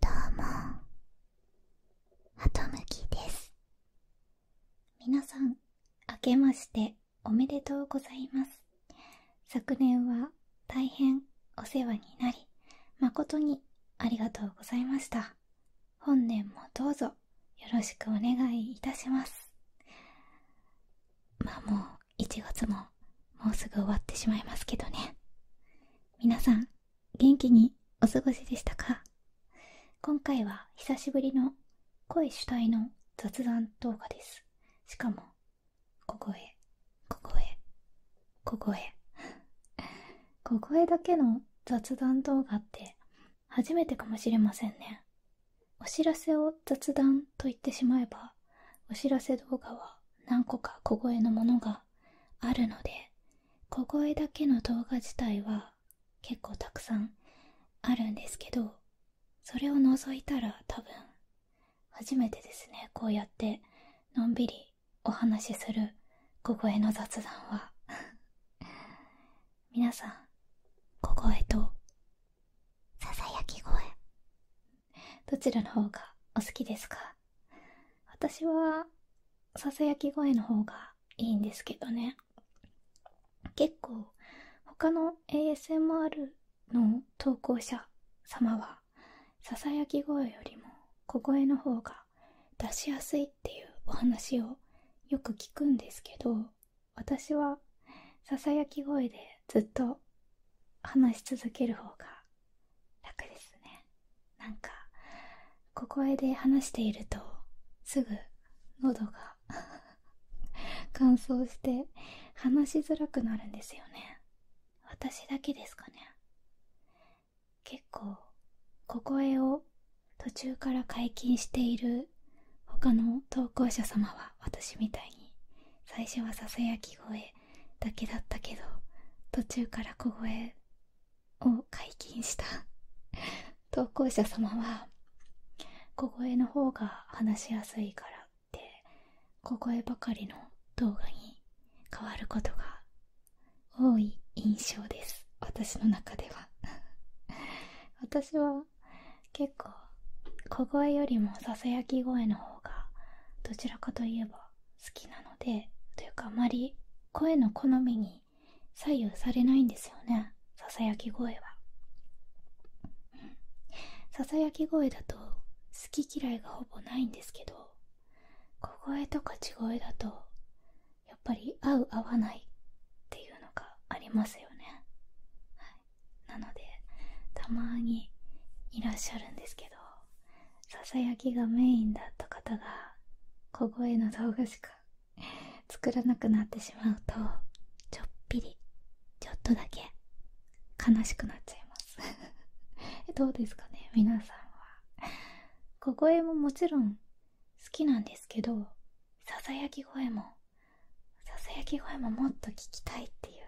どうもハとむきです皆さん明けましておめでとうございます昨年は大変お世話になり誠にありがとうございました本年もどうぞよろしくお願いいたしますま1月ももうすぐ終わってしまいますけどね皆さん元気にお過ごしでしたか今回は久しぶりの声主体の雑談動画ですしかもここへこ声小こ小声小声だけの雑談動画って初めてかもしれませんねお知らせを雑談と言ってしまえばお知らせ動画は何個か小声のものがあるので小声だけの動画自体は結構たくさんあるんですけどそれを除いたら多分初めてですねこうやってのんびりお話しする小声の雑談は 皆さん小声とささやき声どちらの方がお好きですか私はささやき声の方がいいんですけどね結構他の ASMR の投稿者様はささやき声よりも小声の方が出しやすいっていうお話をよく聞くんですけど私はささやき声でずっと話し続ける方が楽ですねなんか小声で話しているとすぐ喉が 乾燥して話しづらくなるんですよね私だけですかね結構小声を途中から解禁している他の投稿者様は私みたいに最初はささやき声だけだったけど途中から小声を解禁した 投稿者様は小声の方が話しやすいからって小声ばかりの動画に変わることが多い印象です私の中では 私は結構小声よりもささやき声の方がどちらかといえば好きなのでというかあまり声の好みに左右されないんですよねささやき声は、うん、ささやき声だと好き嫌いがほぼないんですけど小声とか地声だとやっぱり合う合わないっていうのがありますよね、はい、なのでたまにいらっしゃるんですけど囁きがメインだった方が小声の動画しか作らなくなってしまうとちょっぴりちょっとだけ悲しくなっちゃいます どうですかね皆さんは小声ももちろん好きなんですけどささやき声もささやき声ももっと聞きたいっていう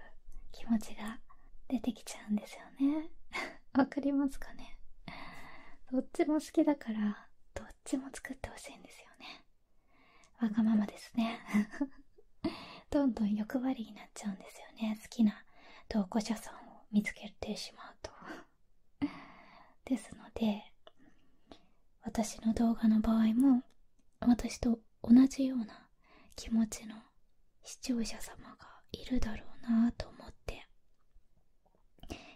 気持ちが出てきちゃうんですよね わかりますかねどっちも好きだからどっちも作ってほしいんですよねわがままですね どんどん欲張りになっちゃうんですよね好きな投稿者さんを見つけてしまうと ですので私の動画の場合も私と同じような気持ちの視聴者様がいるだろうなと思って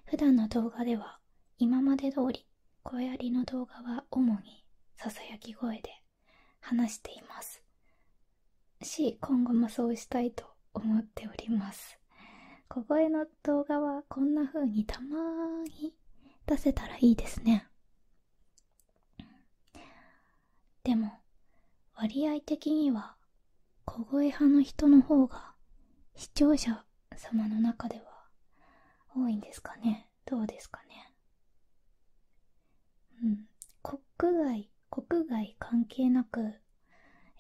普段の動画では今まで通り声ありの動画は主にささやき声で話していますし今後もそうしたいと思っております小声の動画はこんな風にたまーに出せたらいいですねでも割合的には小声派の人の方が視聴者様の中では多いんですかねどうですかねうん国外国外関係なく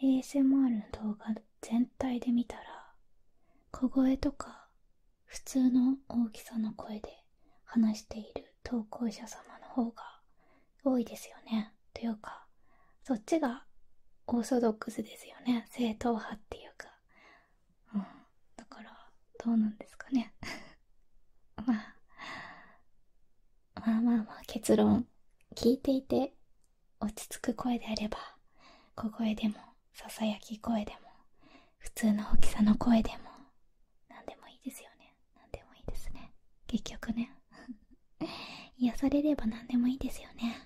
ASMR の動画全体で見たら小声とか普通の大きさの声で話している投稿者様の方が多いですよねというかそっちがオーソドックスですよね正統派っていうか、うん、だからどうなんですかね まあまあまあまあ結論聞いていて落ち着く声であれば小声でもささやき声でも普通の大きさの声でも何でもいいですよね何でもいいですね結局ね 癒されれば何でもいいですよね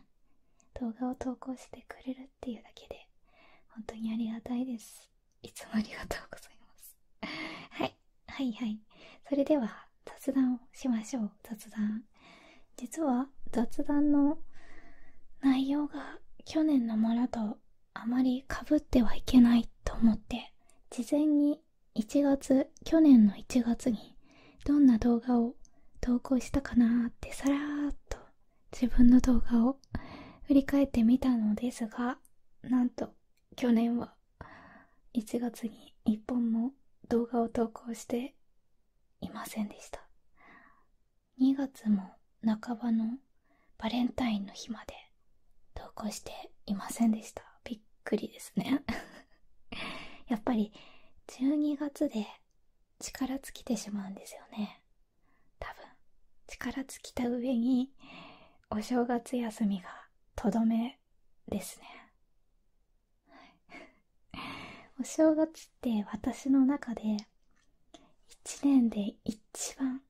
動画を投稿してくれるっていうだけで本当にありがたいですいつもありがとうございます はいはいはいそれでは雑談をしましょう雑談実は雑談の内容が去年のものとあまりかぶってはいけないと思って事前に1月去年の1月にどんな動画を投稿したかなってさらっと自分の動画を振り返ってみたのですがなんと去年は1月に1本も動画を投稿していませんでした2月も半ばのバレンタインの日まで投稿していませんでしたびっくりですね やっぱり12月で力尽きてしまうんですよね多分力尽きた上にお正月休みがとどめですねお正月って私の中で1年で一番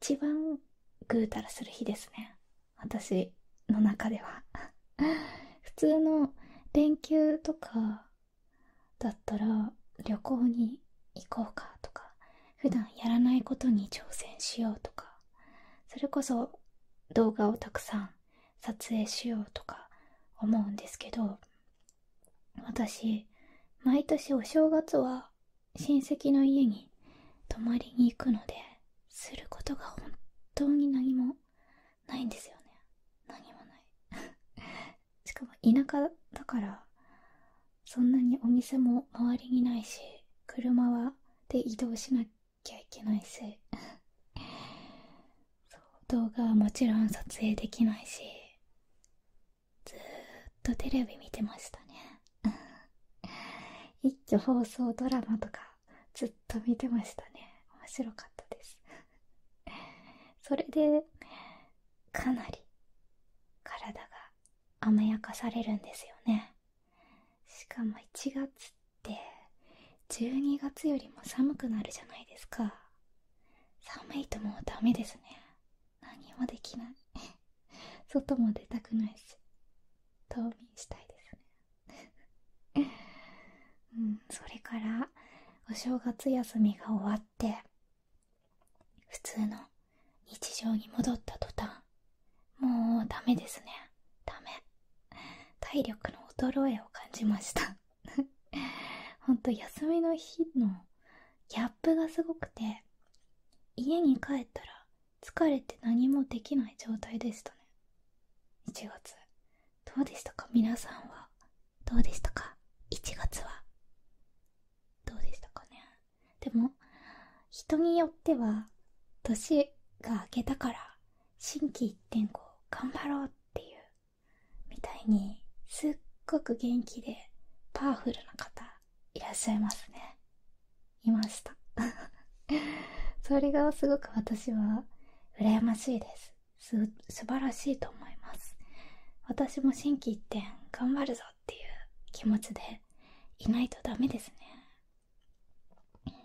一番ぐうたらする日ですね私の中では 普通の連休とかだったら旅行に行こうかとか普段やらないことに挑戦しようとかそれこそ動画をたくさん撮影しようとか思うんですけど私毎年お正月は親戚の家に泊まりに行くのですることが本当に何もないんですよね何もない しかも田舎だからそんなにお店も周りにないし車はで移動しなきゃいけないし 動画はもちろん撮影できないしずっとテレビ見てましたね 一挙放送ドラマとかずっと見てましたね面白かったです それでかなり体が甘やかされるんですよねしかも1月って12月よりも寒くなるじゃないですか寒いともうダメですね何もできない外も出たくないし冬眠したいですね それからお正月休みが終わって普通の日常に戻った途端もうダメですねダメ体力の衰えを感じましたほんと休みの日のギャップがすごくて家に帰ったら疲れて何もできない状態でしたね1月どうでしたか皆さんはどうでしたか1月はどうでしたかねでも人によっては年が明けたから心機一転こう頑張ろうっていうみたいにすっごく元気でパワフルな方いらっしゃいますねいました それがすごく私は羨ましいです素晴らしいと思います私も心機一転頑張るぞっていう気持ちでいないとダメですね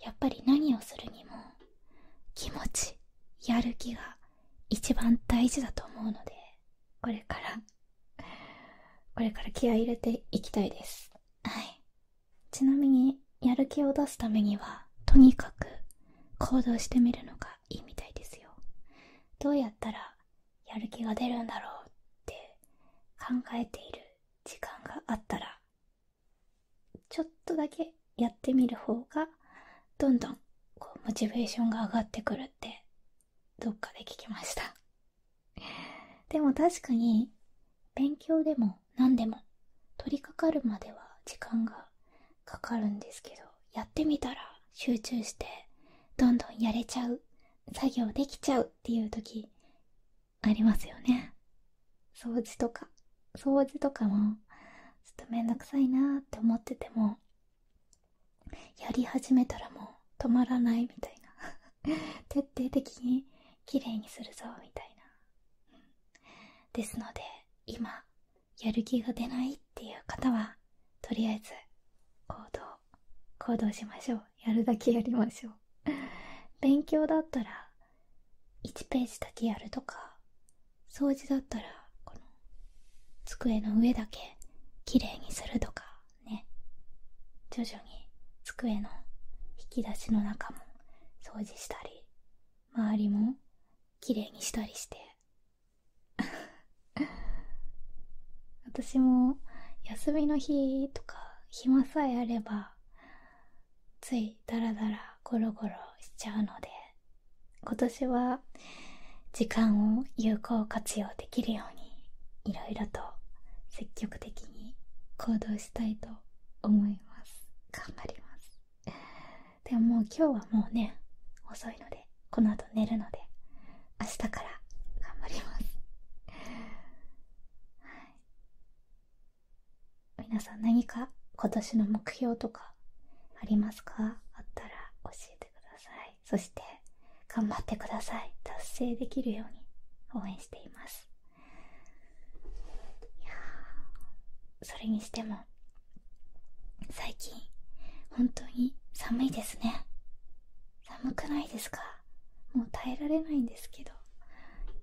やっぱり何をするにも気持ちやる気が一番大事だと思うのでこれからこれから気合い入れていきたいですはいちなみにやる気を出すためにはとにかく行動してみるのがいいみたいですよどうやったらやる気が出るんだろうって考えている時間があったらちょっとだけやってみる方がどんどんモチベーションが上がってくるってどっかで聞きました でも確かに勉強でも何でも取り掛かるまでは時間がかかるんですけどやってみたら集中してどんどんやれちゃう作業できちゃうっていう時ありますよね掃除とか掃除とかもちょっとめんどくさいなって思っててもやり始めたらもう止まらないみたいな 徹底的に綺麗にするぞみたいな、ですので今やる気が出ないっていう方はとりあえず行動行動しましょうやるだけやりましょう 勉強だったら1ページだけやるとか掃除だったらこの机の上だけ綺麗にするとか徐々に机の引き出しの中も掃除したり周りもきれいにしたりして 私も休みの日とか暇さえあればついダラダラゴロゴロしちゃうので今年は時間を有効活用できるように。にいろと積極的に行動したいと思います頑張りますでも今日はもうね遅いのでこの後寝るので明日から頑張ります皆さん何か今年の目標とかありますかあったら教えてくださいそして頑張ってください達成できるように応援していますいやそれにしても最近本当に寒いですね寒くないですかもう耐えられないんですけど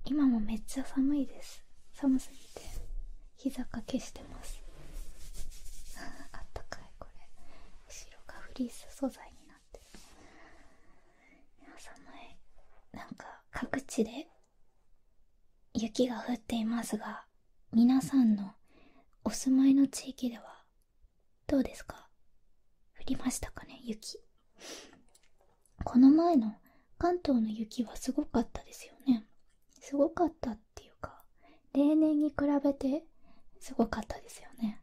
今もめっちゃ寒いです寒すぎて膝掛けしてます あったかいこれ後ろがフリース素材になってる寒いなんか各地で雪が降っていますが皆さんのお住まいの地域ではどうですか降りましたかね雪この前の関東の雪はすごかったですよねすごかったっていうか例年に比べてすごかったですよね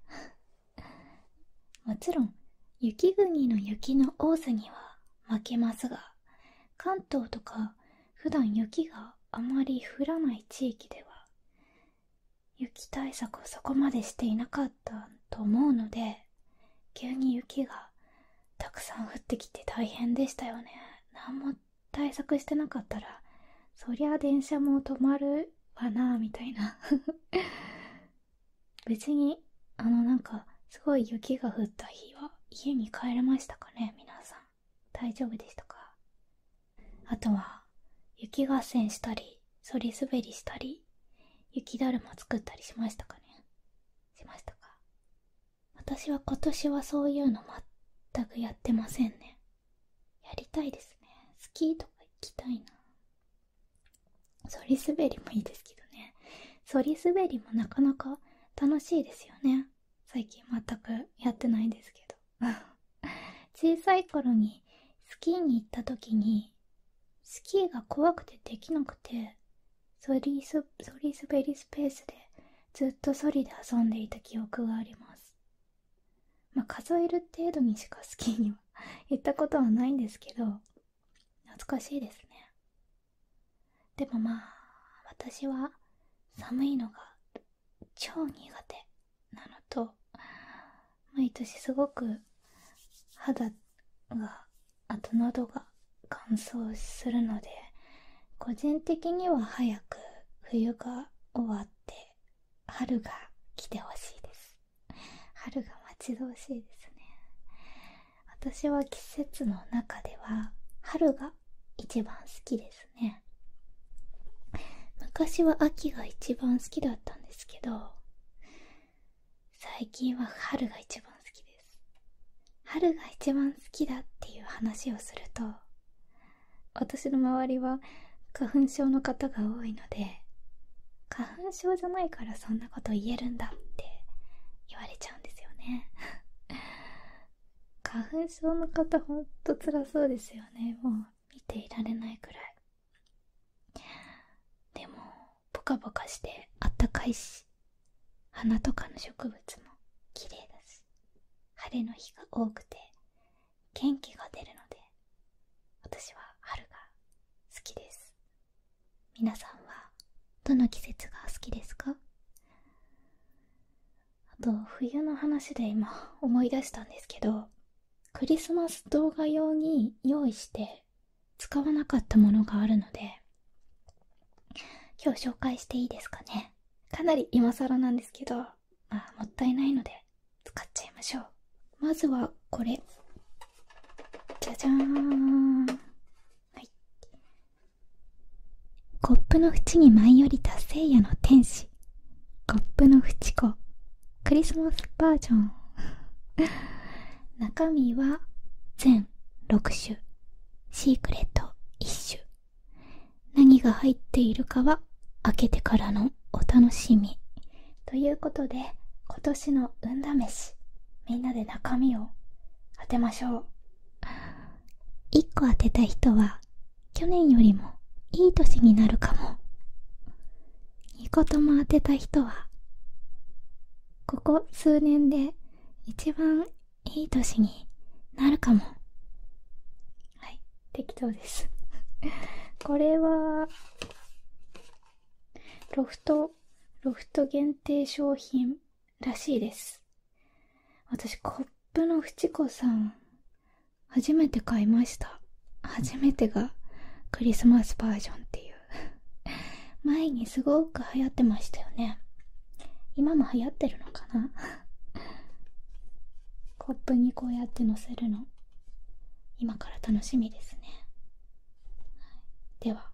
もちろん雪国の雪の多さには負けますが関東とか普段雪があまり降らない地域では雪対策をそこまでしていなかったと思うので急に雪がたくさん降ってきて大変でしたよね何も対策してなかったらそりゃ電車も止まるわなみたいな別にあのなんかすごい雪が降った日は家に帰れましたかね皆さん大丈夫でしたかあとは雪合戦したりそり滑りしたり雪だるま作ったりしましたかねしましたか私は今年はそういうの全くやってませんねやりたいですねスキーとか行きたいな反り滑りもいいですけどね反り滑りもなかなか楽しいですよね最近全くやってないですけど 小さい頃にスキーに行った時にスキーが怖くてできなくて反りすべりりスペースでずっと反りで遊んでいた記憶がありますま数える程度にしかスキーには行ったことはないんですけど懐かしいですねでもまあ私は寒いのが超苦手なのと毎年すごく肌があなどが乾燥するので個人的には早く冬が終わって春が来てほしいです春が待ち遠しいですね私は季節の中では春が一番好きですね昔は秋が一番好きだったんですけど最近は春が一番好きです春が一番好きだっていう話をすると私の周りは花粉症の方が多いので花粉症じゃないからそんなこと言えるんだって言われちゃうんですよね 花粉症の方ほんと辛そうですよねもう見ていられないくらいでもポカポカしてあったかいし花とかの植物も綺麗だし晴れの日が多くて元気が出るので私は春が好きです皆さんはどの季節が好きですかあと冬の話で今思い出したんですけどクリスマス動画用に用意して使わなかったものがあるので今日紹介していいですかねかなり今更なんですけどまもったいないので使っちゃいましょうまずはこれじゃじゃーんコップの縁に舞い降りた聖夜の天使コップの縁子クリスマスバージョン 中身は全6種シークレット1種何が入っているかは開けてからのお楽しみということで今年の運試しみんなで中身を当てましょう1個当てた人は去年よりもいい年になるかも2個とも当てた人はここ数年で一番いい年になるかもはい適当です これはロフト、ロフト限定商品らしいです。私、コップのフチコさん、初めて買いました。初めてがクリスマスバージョンっていう。前にすごく流行ってましたよね。今も流行ってるのかな コップにこうやってのせるの今から楽しみですね、では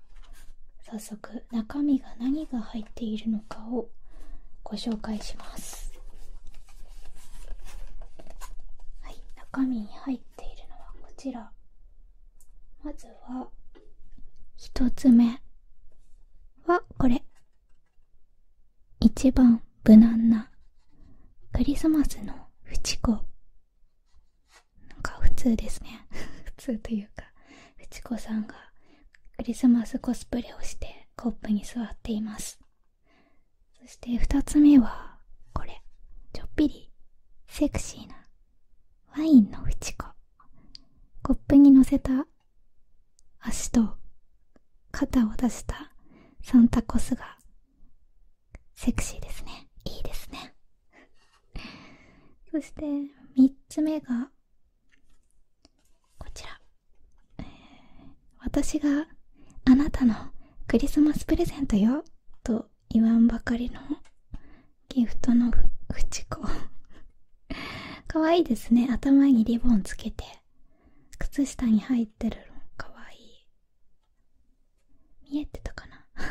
早速中身が何が入っているのかをご紹介しますはい中身に入っているのはこちらまずは1つ目はこれ一番無難なクリスマスのフチ子なんか普通ですね 普通というかフチ子さんがクリスマスコスプレをしてコップに座っていますそして2つ目はこれちょっぴりセクシーなワインのフチ子コップに乗せた足と肩を出したサンタコスがセクシーですねいいですね そして3つ目がこちら、え私があなたのクリスマスプレゼントよと言わんばかりのギフトのフチコかわいいですね頭にリボンつけて靴下に入ってるのかわいい見えてたかな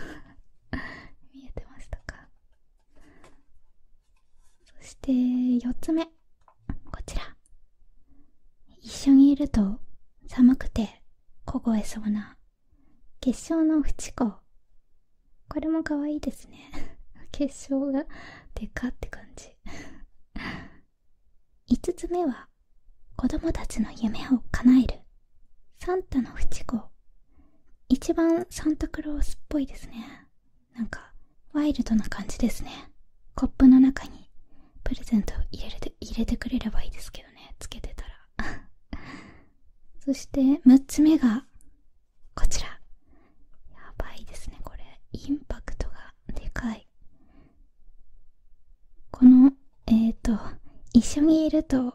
見えてましたかそして4つ目こちら一緒にいると寒くて凍えそうな結晶のフチ子これも可愛いですね 結晶がでかって感じ5つ目は子供たちの夢を叶えるサンタのフチ子一番サンタクロースっぽいですねなんかワイルドな感じですねコップの中にプレゼントを入れる入れてくれればいいですけどねつけてたら そして6つ目がこちらやばいですねこれインパクトがでかいこのえっ、ー、と一緒にいると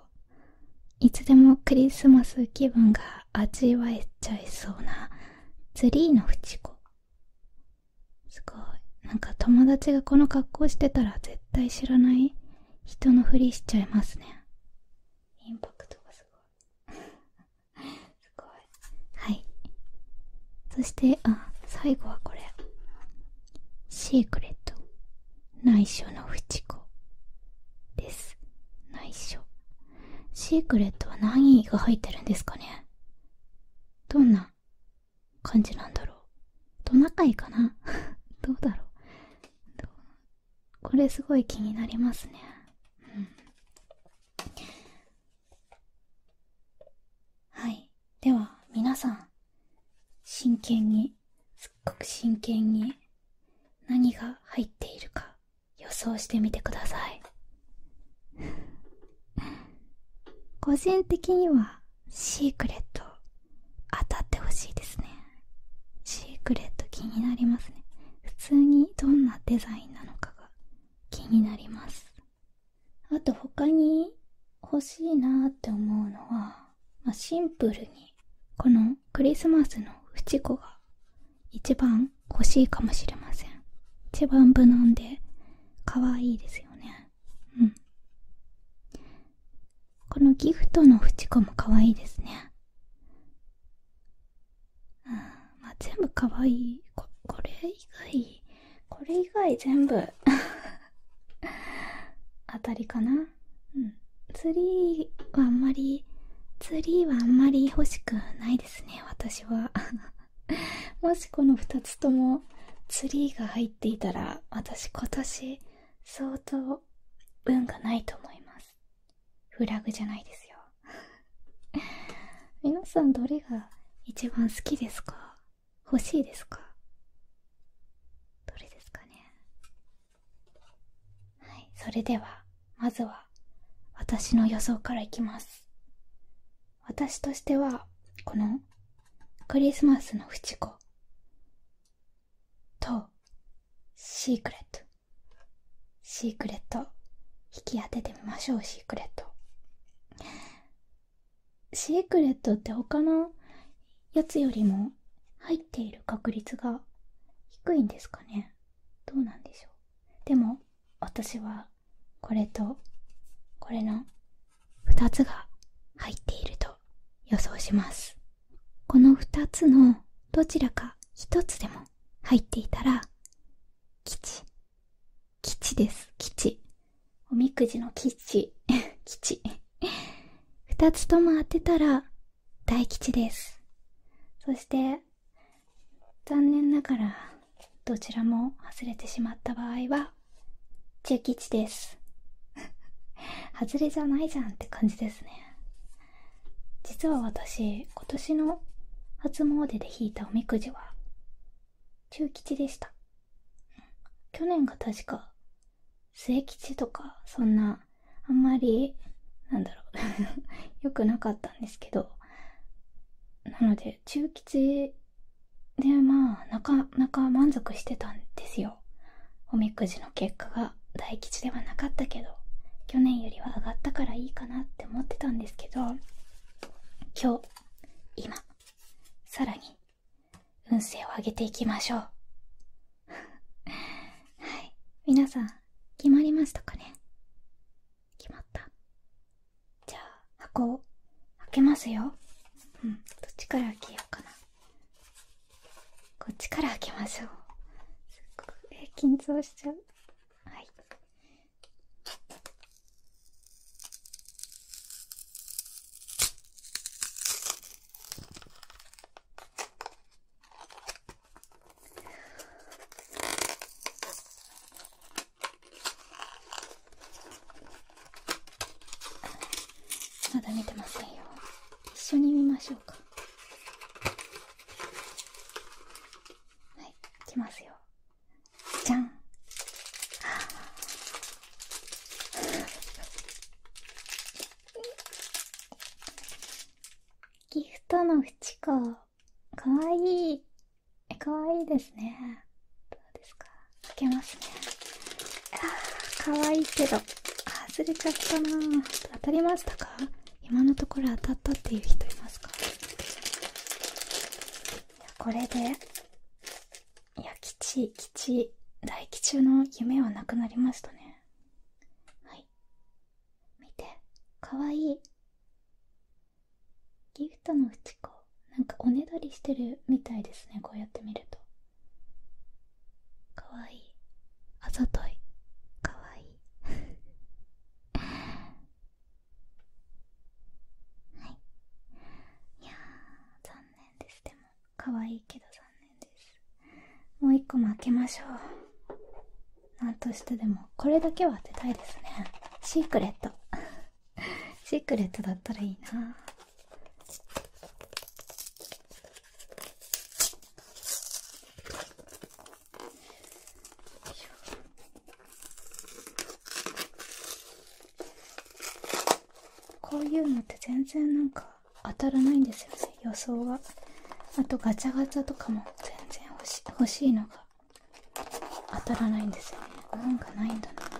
いつでもクリスマス気分が味わえちゃいそうなツリーのフ子すごいなんか友達がこの格好してたら絶対知らない人のふりしちゃいますねインパクトがすごい すごいはいそしてあ最後はこれシークレット内緒のフ子です内緒シークレットは何が入ってるんですかねどんな感じなんだろうトナカイかな どうだろうこれすごい気になりますね、はいでは皆さん真剣にすっごく真剣に何が入っているか予想してみてください個人的にはシークレット当たってほしいですねシークレット気になりますね普通にどんなデザインなのかが気になりますあと他に欲しいなって思うのはまシンプルにこのクリスマスのフ子が一番欲しいかもしれません一番無難で可愛いですよねうんこのギフトのフチ子も可愛いですねあ全部可愛いここれ以外これ以外全部あ たりかなうんツリーはあんまりツリーはあんまり欲しくないですね私は もしこの2つともツリーが入っていたら私今年相当運がないと思いますフラグじゃないですよ皆さんどれが一番好きですか欲しいですかどれですかねはいそれではまずは私の予想からいきます私としてはこのクリスマスのフチ子とシークレットシークレット引き当ててみましょうシークレットシークレットって他のやつよりも入っている確率が低いんですかねどうなんでしょうでも私はこれとこれの2つが入っていると予想しますこの2つのどちらか1つでも入っていたら吉吉です吉おみくじの吉 吉二つとも当てたら大吉ですそして残念ながらどちらも外れてしまった場合は中吉です 外れじゃないじゃんって感じですね実は私今年の初詣で引いたおみくじは中吉でした去年が確か末吉とかそんなあんまりなんだろうよ くなかったんですけどなので中吉でまあなかなか満足してたんですよおみくじの結果が大吉ではなかったけど去年よりは上がったからいいかなって思ってたんですけど今日今さらに運勢を上げていきましょう はい皆さん決まりましたかね決まったじゃあ箱を開けますようんどっちから開けようかなこっちから開けましょうすっごい、えー、緊張しちゃうはいっ。まだ見てませんよ一緒に見ましょうかはいいきますよじゃんギフトの縁か。かわいい。え、かわいですね。どうですか開けますね。あかわいいけど、外れちゃったな当たりましたか今のところ当たったっていう人いますかこれでいや吉吉大吉中の夢はなくなりましたねはい見てかわいいギフトのうち子なんかおねだりしてるみたいですねこうやって見るとかわいいあざといかわいい はいいや残念ですでも可愛いけど残念ですもう一個も開けましょうなんとしてでもこれだけは当てたいですねシークレットシークレットだったらいいなこういうのって全然なんか当たらないんですよね予想があとガチャガチャとかも全然欲し欲しいのが当たらないんですよね運がないんだなはい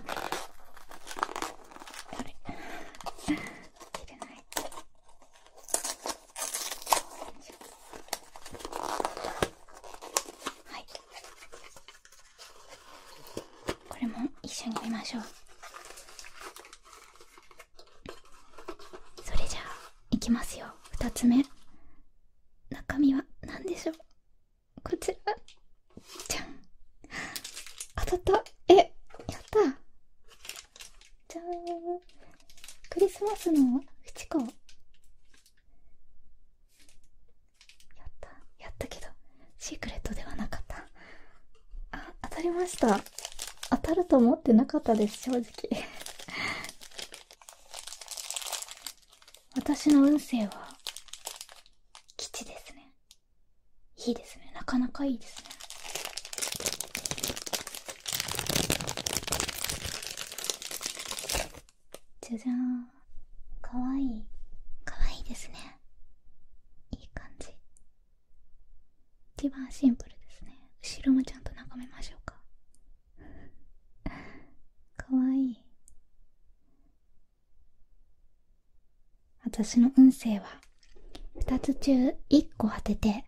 これも一緒に見ましょうそれじゃあいきますよ2つ目中身は何でしょうこちらじゃん当たったえやったじゃーんクリスマスのフチ子やったやったけどシークレットではなかったあ、当たりました。当たると思ってなかったです、正直。私の運勢は、吉ですね。いいですね。なかなかいいですね。じゃじゃん。かわいい。かわいいですね。いい感じ。一番シンプルですね後ろもちゃんと眺めましょうか かわいい私の運勢は2つ中1個当てて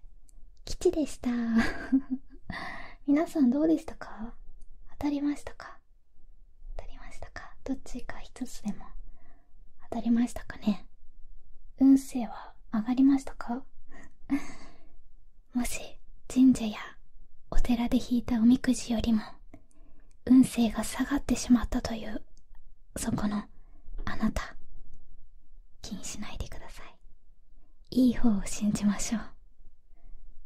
吉でした 皆さんどうでしたか当たりましたか当たりましたかどっちか1つでも当たりましたかね運勢は上がりましたか もし神社やお寺で引いたおみくじよりも運勢が下がってしまったというそこのあなた気にしないでくださいいい方を信じましょう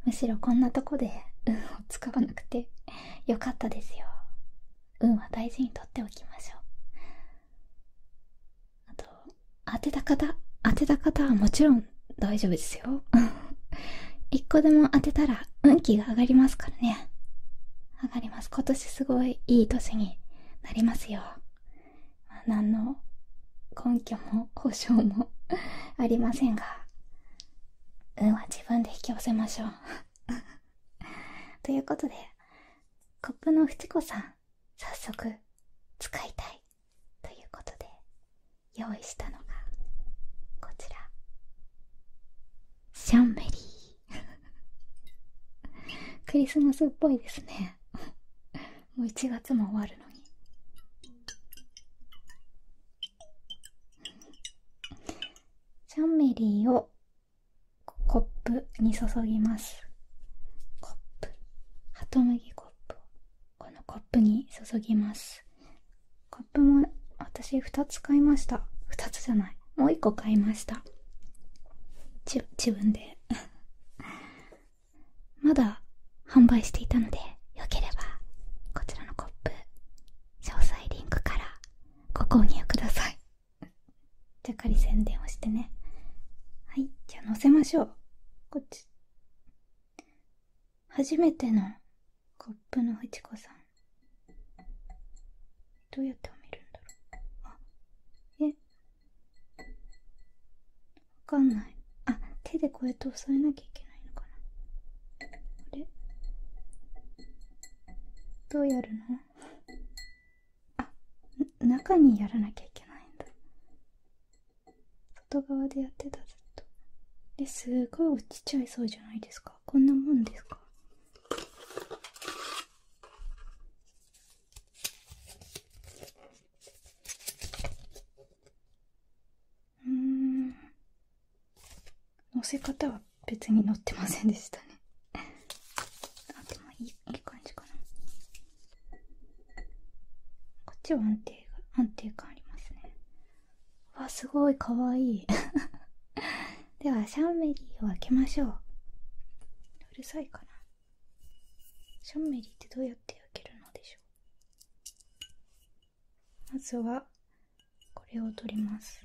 むしろこんなとこで運を使わなくてよかったですよ運は大事にとっておきましょうあと当てた方当てた方はもちろん大丈夫ですよ 一個でも当てたら運気が上がりますからね上がります今年すごいいい年になりますよ、ま何の根拠も保証もありませんが運は自分で引き寄せましょう ということでコップのフチコさん早速使いたいということで用意したのがこちらシャンベリー クリスマスっぽいですねもう1月も終わるのにシャンメリーをコップに注ぎますコップハトムギコップをこのコップに注ぎますコップも私2つ買いました2つじゃないもう1個買いました自分で まだ販売していたのでよければこちらのコップ詳細リンクからご購入くださいじゃっかり宣伝をしてねはいじゃあ載せましょうこっち初めてのコップのふちこさんどうやって褒めるんだろうあえわかんないあ手でこうやって押さえなきゃいけないのかなあれどうやるのねあ中にやらなきゃいけないんだ外側でやってたずっとですごい落ちちゃいそうじゃないですかこんなもんですかうん乗せ方は別に乗ってませんでしたねあでもいいいい感じかなこっちは安定が安定感ありますねわすごいかわい ではシャンメリーを開けましょううるさいかなシャンメリーってどうやって開けるのでしょうまずはこれを取ります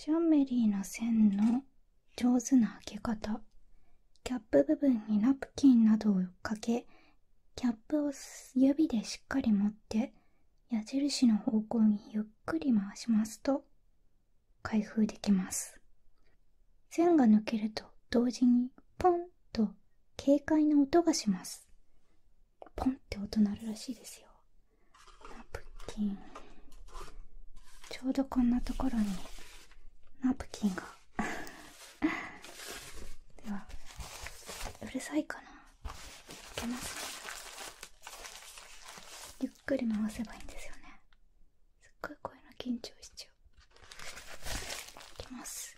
ジャンメリーの線の上手な開け方キャップ部分にナプキンなどをかけキャップを指でしっかり持って矢印の方向にゆっくり回しますと開封できます線が抜けると同時にポンと軽快な音がしますポンって音鳴るらしいですよナプキンちょうどこんなところにナプキンがではうるさいかないけますねゆっくり回せばいいんですよねすっごい声の緊張しちゃういきます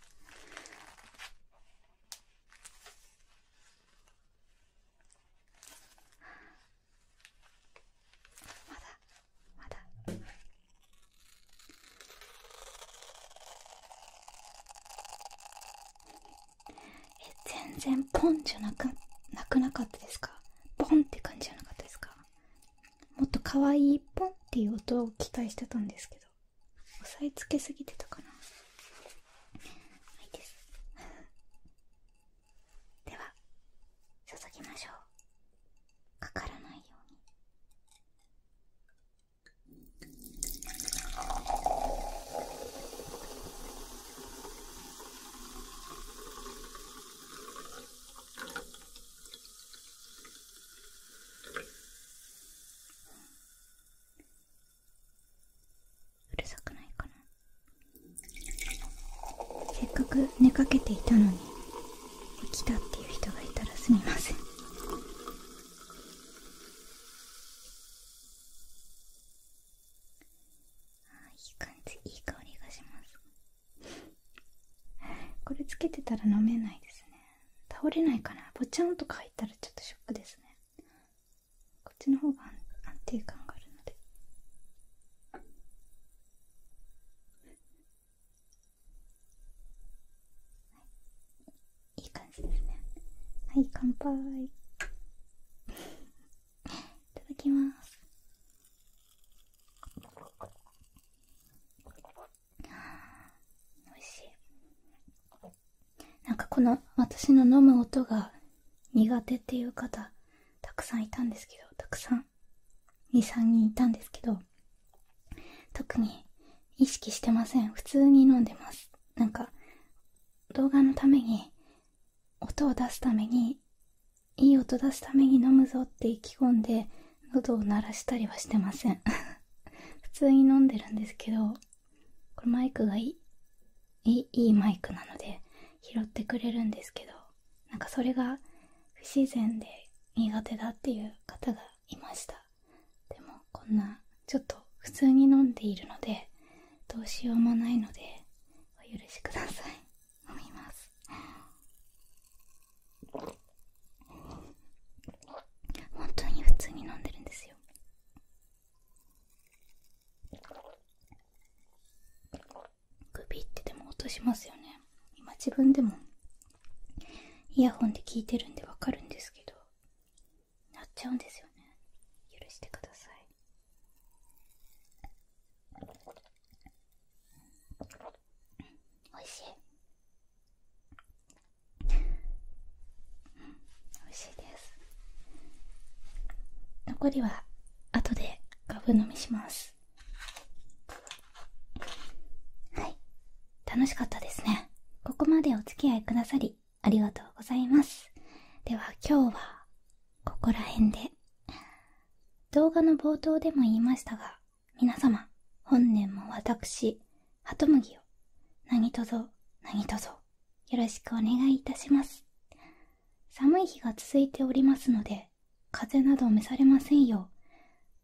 まだまだえ、全然ポンじゃなくなくなかったですかポンって感じじゃなかったですかもっと可愛いポンっていう音を期待してたんですけど押さえつけすぎてたかなはいです では注ぎましょうかからないようにうるさくないかなせっかく寝かけていたのに来たっていう人がいたらすみませんああ、いい感じいい香りがしますこれつけてたら飲めないですね倒れないかなぼちゃんとか入ったらちょっとショックですねこっちの方が安定感があるのでいい感じですねはい乾杯 いただきますおいしいなんかこの私の飲む音が苦手っていう方たくさんいたんですけどたくさん23人いたんですけど特に意識してません普通に飲んでますなんか動画のために音を出すためにいい音出すために飲むぞって意気込んで喉を鳴らしたりはしてません 普通に飲んでるんですけどこれマイクがいいいいマイクなので拾ってくれるんですけどなんかそれが不自然で苦手だっていう方がいましたでもこんなちょっと普通に飲んでいるのでどうしようもないのでお許しください飲みます本当に普通に飲んでるんですよ首ってでも落としますよね今自分でもイヤホンで聞いてるんでわかるんですけどなっちゃうんですよね許してくださいおいしいおいしいです残りは後でガブ飲みしますはい楽しかったですね。ここまでお付き合いくださり、ありがとうございます。では今日は、ここら辺で。動画の冒頭でも言いましたが、皆様、本年も私、ハトムギを、何とぞ、何とぞ、よろしくお願いいたします。寒い日が続いておりますので、風邪など召されませんよ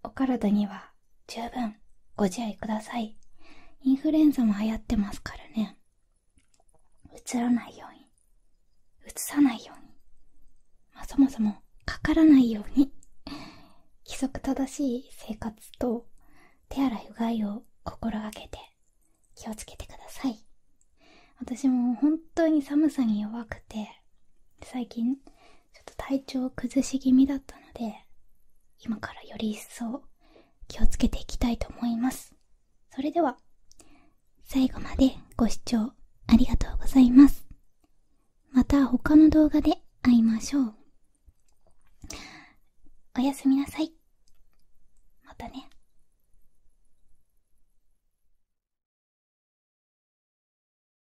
う、お体には十分ご自愛ください。インフルエンザも流行ってますからね。うつらないように。うつさないように。まそもそもかからないように。規則正しい生活と手洗いうがいを心がけて気をつけてください。私も本当に寒さに弱くて、最近ちょっと体調を崩し気味だったので今からより一層気をつけていきたいと思いますそれでは最後までご視聴ありがとうございますまた他の動画で会いましょうおやすみなさいまたね